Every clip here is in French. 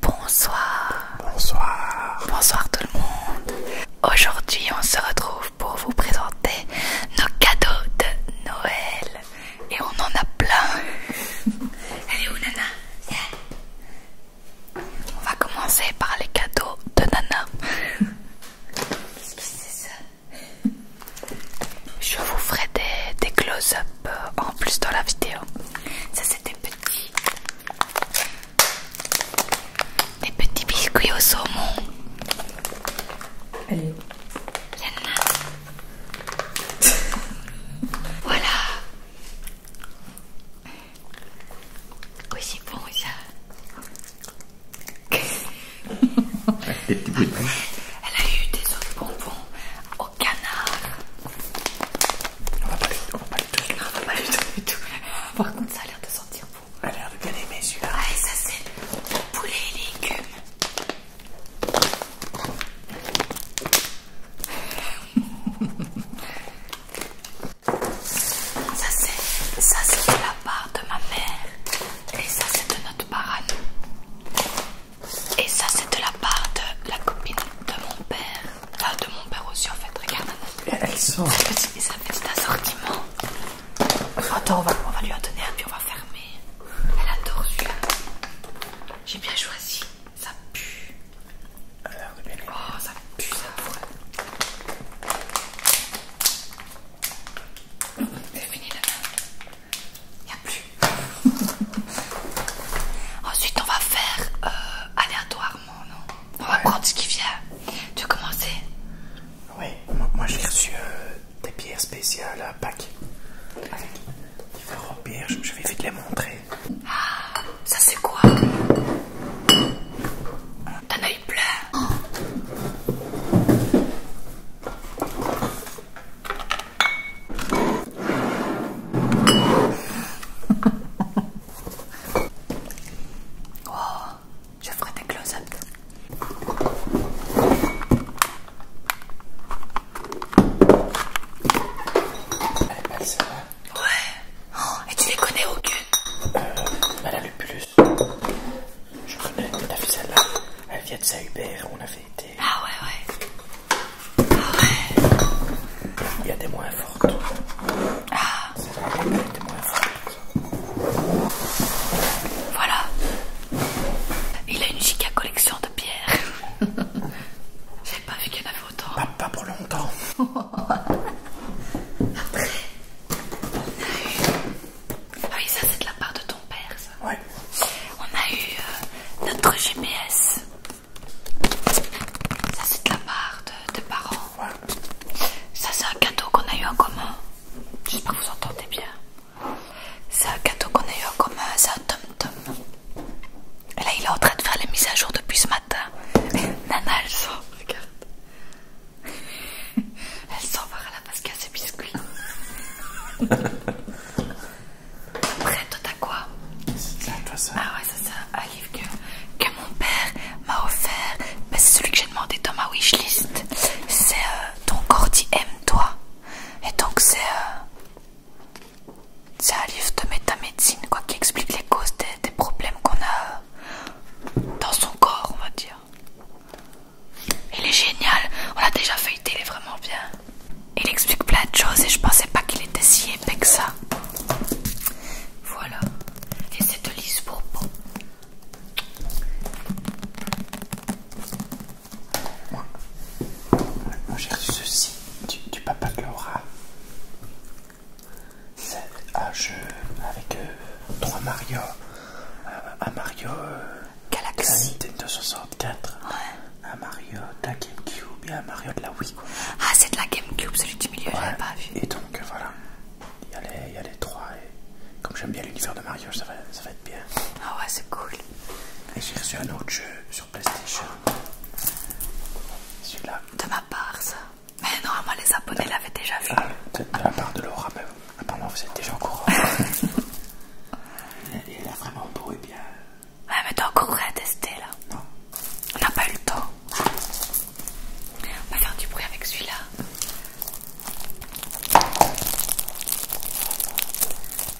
Bonsoir. Bonsoir. Bonsoir tout le monde. Aujourd'hui, on se retrouve pour vous présenter nos cadeaux de Noël. Et on en a plein. Elle où oh, Nana On va commencer par les cadeaux de Nana. quest c'est ça Je vous ferai des close-up euh, en plus dans la vidéo. Ça c'était petit, petits, des petits biscuits au saumon. Allez. voilà. Oui c'est bon ça. Elle a eu des autres bonbons canard. On va pas les, on du tout. Par contre, ça a l'air de sentir bon. Ça a l'air de bien mes yeux là ça, c'est poulet et légumes. ça, c'est ça c'est de la part de ma mère. Et ça, c'est de notre part et ça c'est de la part de la copine de mon père. Ah de mon père aussi en fait, regarde. Elle sort. C'est fait, ça fait cet assortiment. Attends, on va, lui en donner un puis on va fermer. Elle adore celui-là. J'ai bien choisi. Ça pue. Oh ça pue ça. Ouais. fini il a plus. Ensuite, on va faire euh, aléatoirement, non On va ce qui vient. Tu veux commencer Oui, moi, j'ai reçu euh, des pierres spéciales à Pâques. différentes pierres, je vais vite les montrer. Ah, ça c'est quoi Un œil plein Oh, je ferai des close-ups. Elle est pas Ouais. Oh, et tu les connais aucune euh, Madame Lupus. Je connais, on fille, celle-là. Elle vient de sa on a ah ouais, ouais. Il y a des moins fortes. Ah. Voilà. Il a une giga collection de pierres. J'ai pas vu qu'il y en avait autant. Pas, pour longtemps. Après. Ah oui, ça c'est de la part de ton père. On a eu euh, notre GPS. Ça c'est de la part de, parents. Ça c'est un cadeau qu'on a eu en commun. J'espère que vous entendez bien. C'est un cadeau qu'on a eu en commun, c'est un tom-tom. Et là il est en train de faire les mises à jour depuis ce matin. Nana elle sort, regarde. Elle sort par y a ses biscuits. Après, toi t'as quoi C'est Ah ouais, ça. Un livre que, mon père m'a offert. Bah, c'est celui que j'ai demandé dans ma wishlist. C'est euh, Ton corps dit aime-toi. Et donc, c'est. Euh, c'est un livre de métamédecine quoi, qui explique les causes des, des problèmes qu'on a euh, dans son corps, on va dire. Il est génial, on l'a déjà feuilleté, il est vraiment bien. Il explique plein de choses et je pensais pas qu'il était si épais que ça. Voilà, et c'est de pour j'ai ceci du, papa Laura. C'est un ah, jeu avec euh, trois Mario. Euh, un, Mario. Euh, Galaxy. Un Nintendo Ouais. Un Mario de la Gamecube et un Mario de la Wii. Ah, c'est de la Gamecube, celui du milieu, j'ai je pas vu. Et donc voilà, il y, a les, y a les trois. Et comme j'aime bien l'univers de Mario, ça va, ça être bien. Ah ouais, c'est cool. Et j'ai reçu un autre jeu sur PlayStation. Celui-là. De ma part, ça. Mais normalement moi les abonnés l'avaient déjà vu. Ah, peut-être de la part de Laura, même. Ah vous êtes déjà en courant. il, a vraiment beau et bien. Ouais, ah, mais t'as encore à tester là. Non. On n'a pas eu le temps. On va faire du bruit avec celui-là.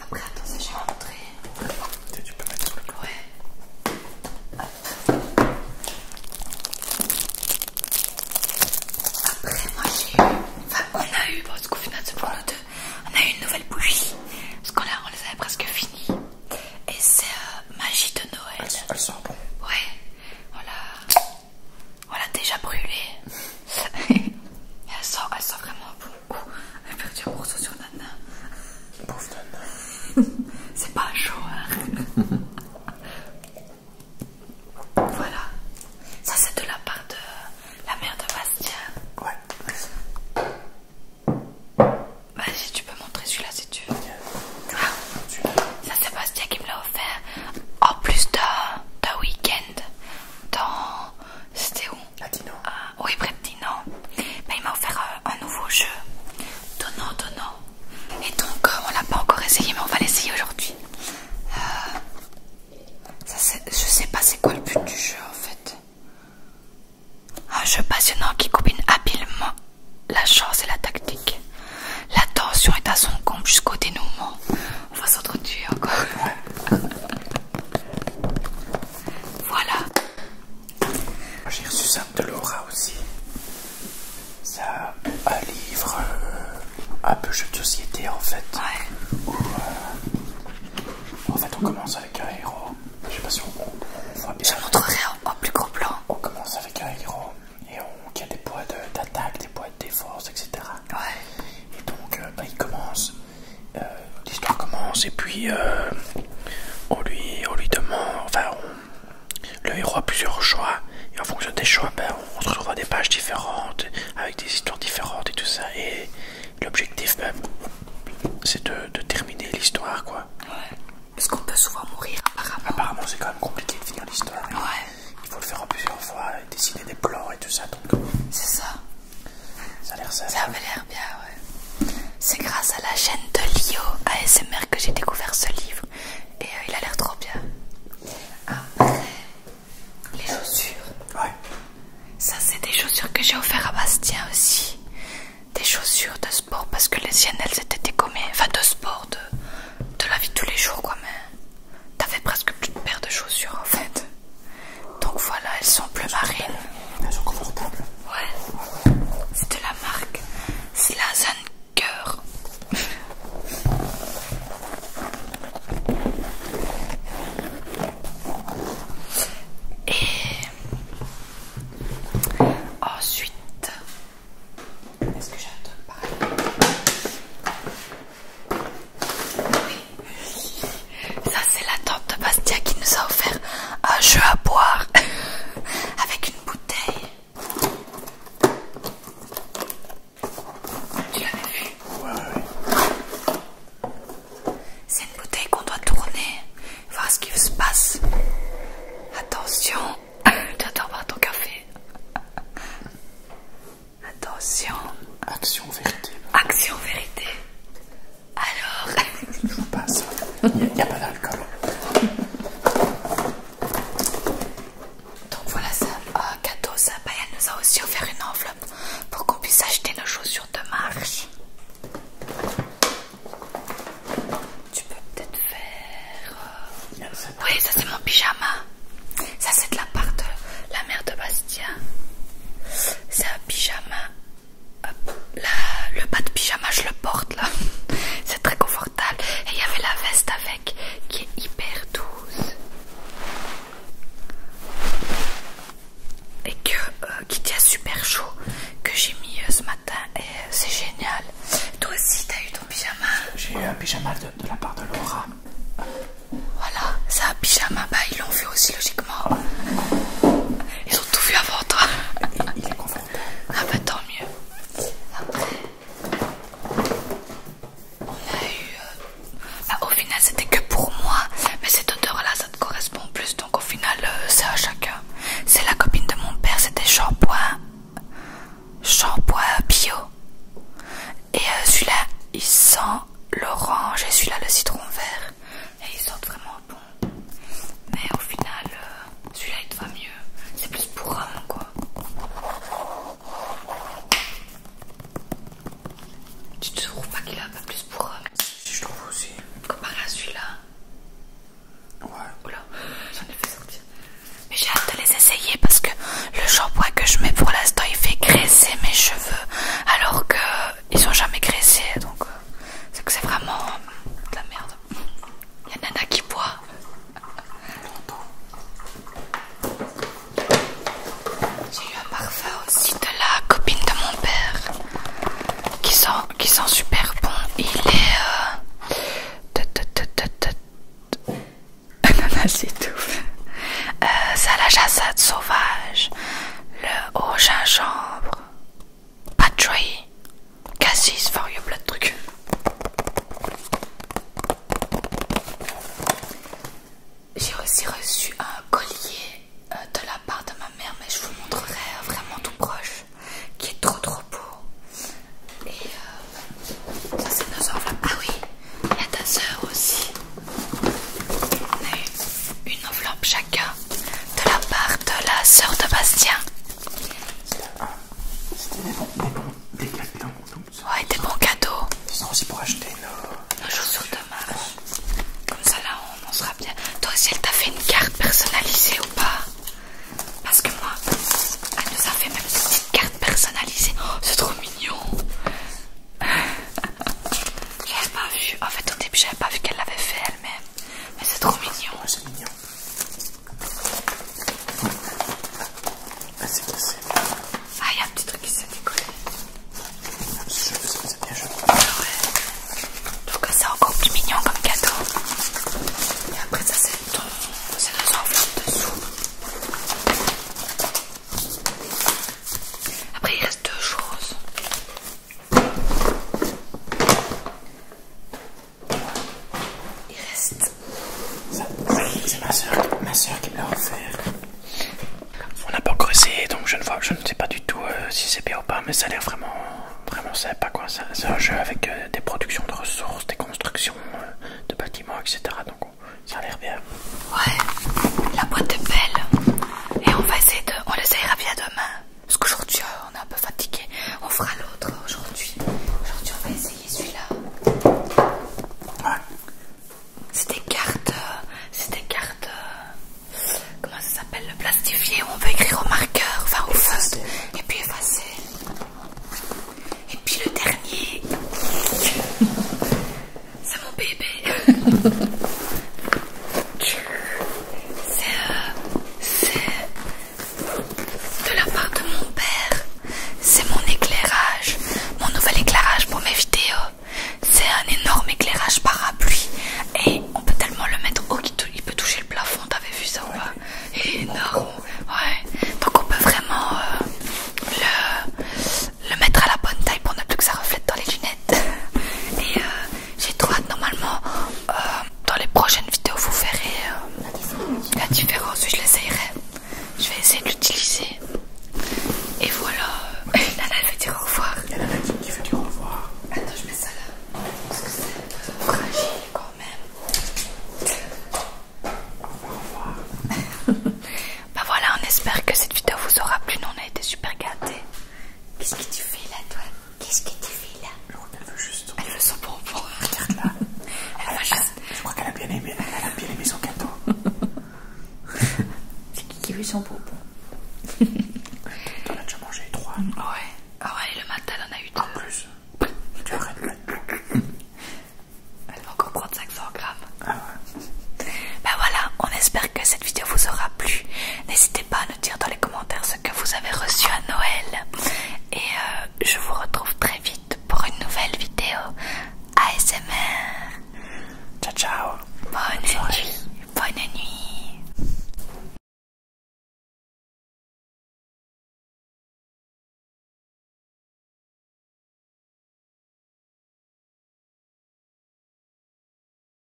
Après, attends, je vais rentrer. Tu peux mettre sous le Ouais. Hop. Après, moi j'ai eu. Enfin, on a eu, parce qu'au final, c'est pour nous deux. On a eu une nouvelle bougie. Parce qu'on on les avait presque finies. Et c'est euh, Magie de Noël. Elle, sort bon. Ouais. Voilà. Voilà, déjà brûlée. elle, sent, elle vraiment bon coup Elle perd du morceau sur Nana. Pauvre Nana. c'est pas chaud, hein. Voilà. Ça c'est de la part de la mère de Bastien. Ouais. Vas-y, tu peux montrer celui-là si tu veux. Ah. Ça c'est Bastien qui me l'a offert. En plus d'un week-end dans... C'était où À ah, oui, près de il m'a offert euh, un, nouveau jeu. Donnant, donnant. Et donc, euh, on l'a pas encore essayé, mais on va l'essayer aujourd'hui. Euh, je sais pas c'est quoi le but du jeu en fait. Un jeu passionnant qui combine habilement la chance et la tactique. La tension est à son compte jusqu'au dénouement. On va s'entretuer encore. voilà. J'ai reçu ça de Laura aussi ça, un livre, euh, un peu jeu de société en fait. Ouais. Où, euh, en fait, on commence avec un héros. Je sais pas si on, voit bien. Je montrerai en, plus gros plan. On commence avec un héros et on y a des poids d'attaque, des poids de défense, etc. Ouais. Et donc, euh, bah, il commence. L'histoire commence et puis on lui on lui demande, enfin le héros a plusieurs choix, et en fonction des choix, ben, on se retrouve à des pages différentes, avec des histoires différentes et tout ça. Et l'objectif, ben, c'est de, terminer l'histoire, quoi. Ouais. Parce qu'on peut souvent mourir, apparemment. c'est quand même compliqué de finir l'histoire. Ouais. Il faut le faire en plusieurs fois, et dessiner des plans et tout ça. donc... Euh, c'est ça. Ça a l'air ça. Ça l'air bien, ouais. C'est grâce à la chaîne de Lio ASMR que j'ai découvert ce livre. Et euh, il a l'air trop bien. Après, ah, les chaussures. Ouais. Ça, c'est des chaussures que j'ai offert à Bastien aussi. Des chaussures de sport parce que les siennes, elles étaient dégommées. Enfin, de sport, de, la vie de tous les jours, quoi. Mais t'avais presque plus de paire de chaussures en fait. Donc voilà, elles sont plus marines, Elles sont confortables. Ouais. C'est de la marque c'est la Slazen cœur. Et ensuite, est-ce que j'ai Oui, ça c'est la tante de Bastia qui nous a offert un jeu à boire avec une bouteille. Tu l'avais vu Ouais, ouais. C'est une bouteille qu'on doit tourner, voir ce qui se passe. Attention, Tu j'adore boire ton café. Attention. Action vérité. Action vérité. Alors. Je vous passe. Il n'y a pas d'alcool. Donc voilà, ça, cadeau, euh, ça. Bah, nous a aussi offert une enveloppe pour qu'on puisse acheter nos chaussures de marche. Tu peux peut-être faire... Euh, oui, ça c'est mon pyjama. Ça c'est de la part de la mère de Bastien. C'est un pyjama. le bas de pyjama, je le porte là. C'est très confortable et il y avait la veste avec qui est hyper douce et que, euh, qui tient super chaud que j'ai mis euh, ce matin et euh, c'est génial. Toi aussi t'as eu ton pyjama J'ai eu un pyjama de, la part de Laura. Voilà, c'est un pyjama, bah ils l'ont vu aussi logiquement. Ils ont tout vu avant toi. Il, est content. Ah bah tant mieux. Après, on ah, au final c'était que pour moi, mais cette odeur là ça te correspond plus, donc au final euh, c'est à chacun. C'est la copine de mon père, c'était shampoing, shampoing bio. Et euh, celui-là il sent l'orange et celui-là le citron vert. Et ils sont vraiment bon. Mais au final... Euh, celui-là il te va mieux. C'est plus pour homme quoi. Tu te trouves pas qu'il a pas plus pour homme Si je trouve aussi. Comparé à celui-là. Ouais. Oula, j'en ai fait sortir. Mais j'ai hâte de les essayer parce que le shampoing que je mets pour l'instant il fait graisser mes cheveux alors qu'ils sont jamais graissés donc euh, c'est que c'est vraiment de la merde. Il y a Nana qui boit. J'ai eu un parfum aussi de la copine de mon père qui sent, super bon. Il est. Euh, Ananas étouffe. Euh, ça la chassade sauvage. Le haut gingembre. Battery, cassis for your blood truc. J'ai aussi reçu un collier euh, de la part de ma mère, mais je vous montrerai euh, vraiment tout proche, qui est trop trop beau. Et euh, ça c'est nos enveloppes. Ah oui, il y a ta sœur aussi. On a eu une enveloppe chacun de la part de la sœur de Bastien. C'était des bons, des cadeaux. Ouais, des bons cadeaux. aussi pour acheter nos... Euh, nos chaussures de marche. Comme ça là, on sera bien. Toi aussi, elle t'a fait une carte personnalisée ou pas Parce que moi, elle nous a fait même une petite carte personnalisée. Oh, c'est trop mignon. J'avais pas vu. En fait, au début, j'avais pas vu qu'elle l'avait fait elle-même. Mais c'est trop mignon. c'est mignon. Ah, c'est cassé. Ah, il y a un petit truc qui s'est décollé. Ah, c'est bien joli. Ah, ouais. Donc, c'est encore plus mignon comme cadeau. Et après, ça, c'est deux enveloppes dessous. Après, il reste deux choses. Il reste. C'est ma soeur, qui l'a offert. On n'a pas creusé, donc je ne sais pas du tout euh, si c'est bien ou pas, mais ça a l'air vraiment, vraiment sympa quoi. C'est un jeu avec euh, des productions de ressources, des constructions euh, de bâtiments, etc. Donc oh, ça a l'air bien. Ouais, la boîte est belle. Et on va essayer de, on l'essayera bien demain. Parce qu'aujourd'hui euh, on est un peu fatigué. On fera l'autre aujourd'hui. Aujourd'hui on va essayer celui-là. C'est des cartes. Euh, c'est des cartes. Euh, comment ça s'appelle Le plastifié où on peut écrire au marqueur, enfin au feutre, et puis effacer. Et puis le dernier. C'est mon bébé. c'est de la part de mon père. C'est mon éclairage, mon nouvel éclairage pour mes vidéos. C'est un énorme éclairage parapluie et on peut tellement le mettre haut qu'il peut toucher le plafond. T'avais vu ça ou Énorme, ouais. Donc on peut vraiment euh, le, mettre à la bonne taille pour ne plus que ça reflète dans les lunettes. Et euh, j'ai trop hâte. Normalement, euh, dans les prochaines vidéos, vous verrez euh, la différence. Je l'essayerai. Je vais essayer de l'utiliser. Et voilà. Nana veut dire au revoir. Nana qui veut dire au revoir. Attends, je mets ça là. Parce que c'est fragile quand même. Au revoir. bah voilà, on espère que cette vidéo vous aura plu. Nous, on a été super gâtés. Qu'est-ce que tu fais là, toi Qu'est-ce que tu fais là qu'elle veut juste. Elle veut son bonbon. Regarde là. Elle a juste. Je crois qu'elle a bien aimé. Elle a bien aimé son gâteau. C'est qui qui veut son bonbon T'en as déjà mangé trois. Ouais. Ah ouais, le matin, elle en a eu deux. En plus. Tu arrêtes Elle va encore prendre 500 grammes. Ah ouais. Ben voilà, on espère que vidéo vous aura plu. N'hésitez pas à nous dire dans les commentaires ce que vous avez reçu à Noël. Et euh, je vous retrouve très vite pour une nouvelle vidéo ASMR. Ciao ciao. Bonne, Bonne nuit.